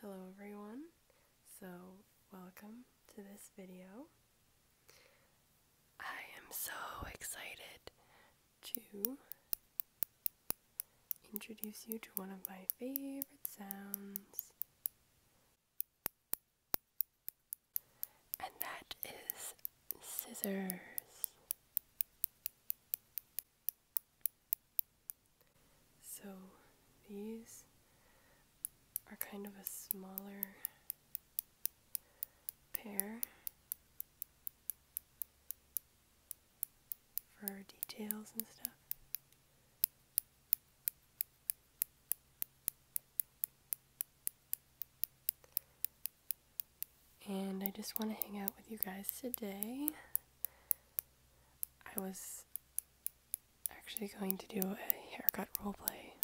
Hello everyone, so welcome to this video. I am so excited to introduce you to one of my favorite sounds, and that is scissors. So these are kind of a smaller pair for details and stuff. And I just want to hang out with you guys today. I was actually going to do a haircut role play,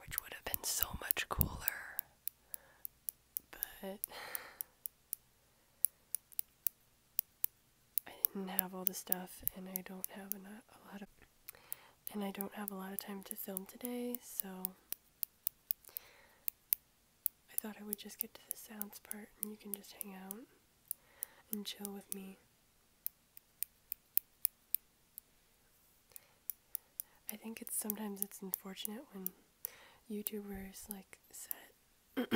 which would have been so much cooler, but I didn't have all the stuff, and I don't have a lot of, and I don't have a lot of time to film today, so I thought I would just get to the sounds part and you can just hang out and chill with me. I think it's sometimes it's unfortunate when YouTubers like set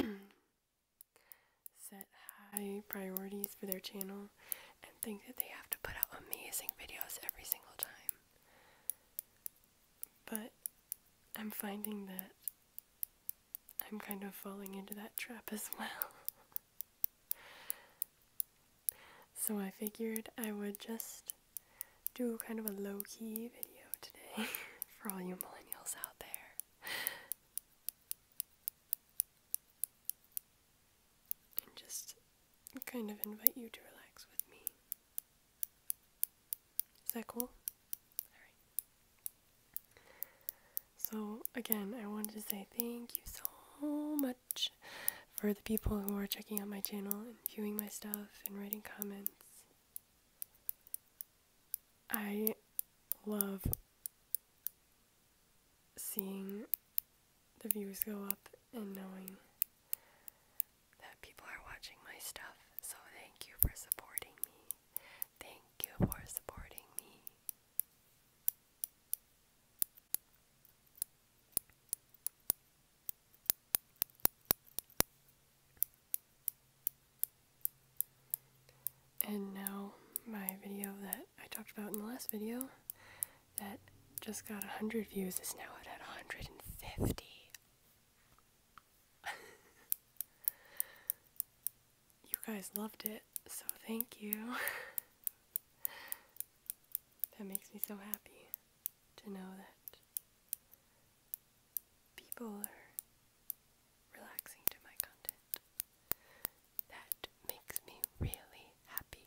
set high priorities for their channel and think that they have to put out amazing videos every single time. But I'm finding that I'm kind of falling into that trap as well. so I figured I would just do kind of a low key video today for all you millennials out there. And just kind of invite you to relax with me. Is that cool? Alright. So, again, I wanted to say thank you so much for the people who are checking out my channel and viewing my stuff and writing comments. I love seeing the views go up and knowing that people are watching my stuff. So thank you for supporting me. Thank you for supporting me. And now, my video that I talked about in the last video that just got 100 views is now at 150. you guys loved it, so thank you. that makes me so happy to know that people are relaxing to my content. That makes me really happy.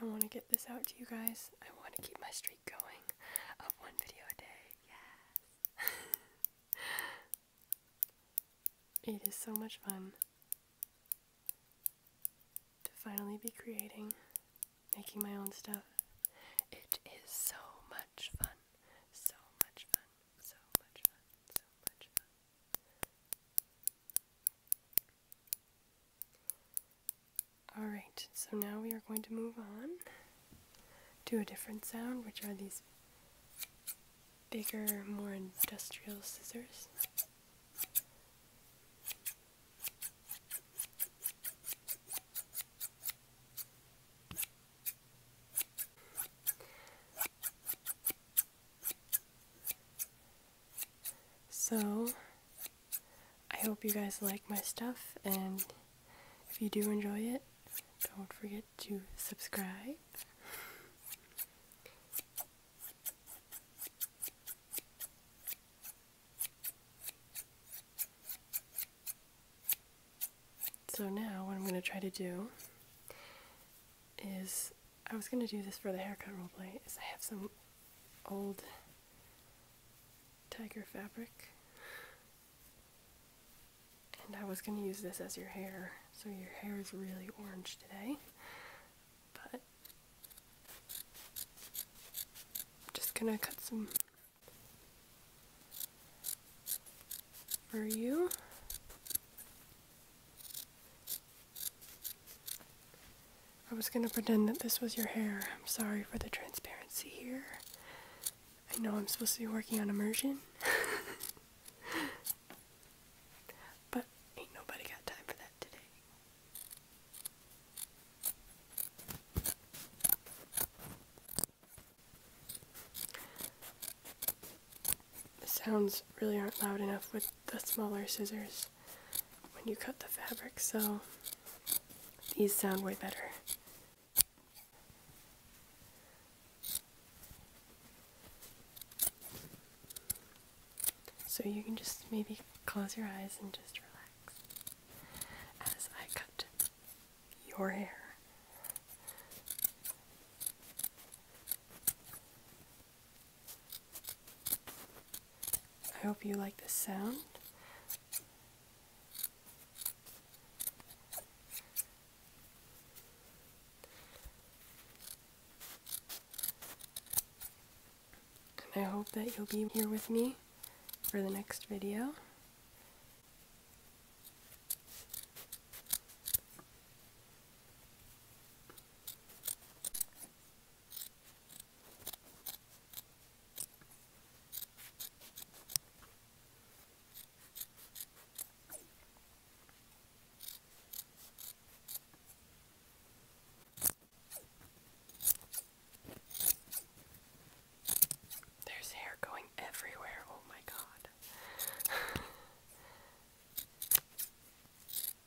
I want to get this out to you guys. I want to keep my streak going of one video a day. Yes. it is so much fun to finally be creating, making my own stuff. It is so much fun. So much fun. So much fun. So much fun. Alright, so now we are going to move on to a different sound, which are these bigger, more industrial scissors. So, I hope you guys like my stuff, and if you do enjoy it, don't forget to subscribe. So now what I'm going to try to do is I was gonna do this for the haircut role play. is I have some old tiger fabric and I was gonna use this as your hair so your hair is really orange today but I'm just gonna cut some for you I was gonna pretend that this was your hair. I'm sorry for the transparency here. I know I'm supposed to be working on immersion. but ain't nobody got time for that today. The sounds really aren't loud enough with the smaller scissors when you cut the fabric, so these sound way better. So you can just maybe close your eyes and just relax as I cut your hair. I hope you like the sound. And I hope that you'll be here with me for the next video. There's hair going everywhere. Oh my god.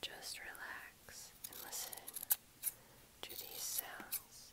Just relax and listen to these sounds.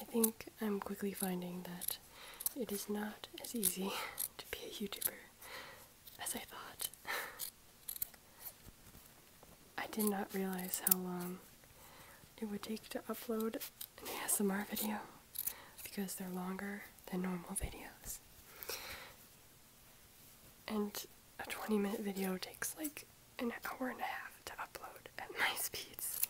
I think I'm quickly finding that it is not as easy to be a YouTuber as I thought. I did not realize how long it would take to upload an ASMR video because they're longer than normal videos. And a 20 minute video takes like an hour and a half to upload at my speeds.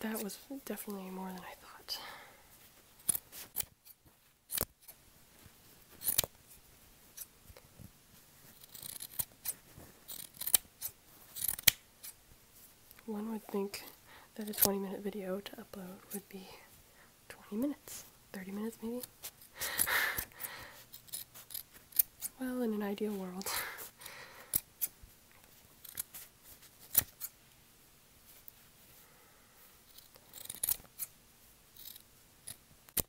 That was definitely more than I thought. One would think that a 20 minute video to upload would be 20 minutes, 30 minutes maybe. well, in an ideal world.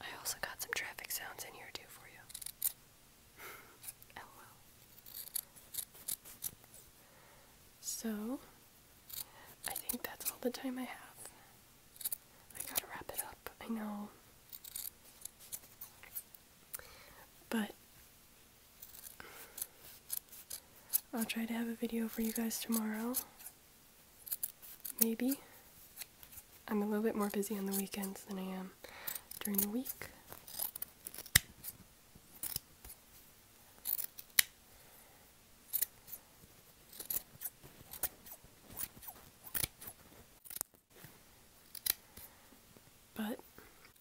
I also got some traffic sounds in here too for you. LOL. So, I think that's all the time I have. I gotta wrap it up, I know. But I'll try to have a video for you guys tomorrow. Maybe. I'm a little bit more busy on the weekends than I am during the week. But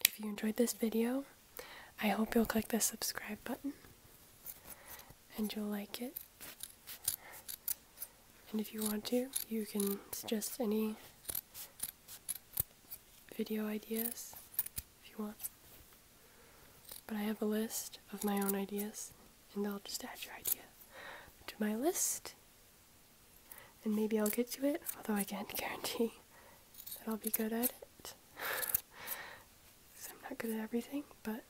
if you enjoyed this video, I hope you'll click the subscribe button and you'll like it. And if you want to, you can suggest any video ideas if you want. But I have a list of my own ideas, and I'll just add your idea to my list, and maybe I'll get to it, although I can't guarantee that I'll be good at it. Because I'm not good at everything, but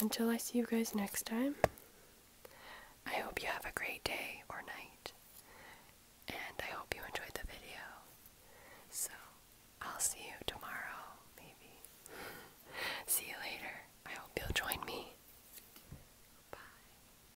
until I see you guys next time, I hope you have a great day or night. And I hope you enjoyed the video. So, I'll see you tomorrow, maybe. see you later. I hope you'll join me. Bye.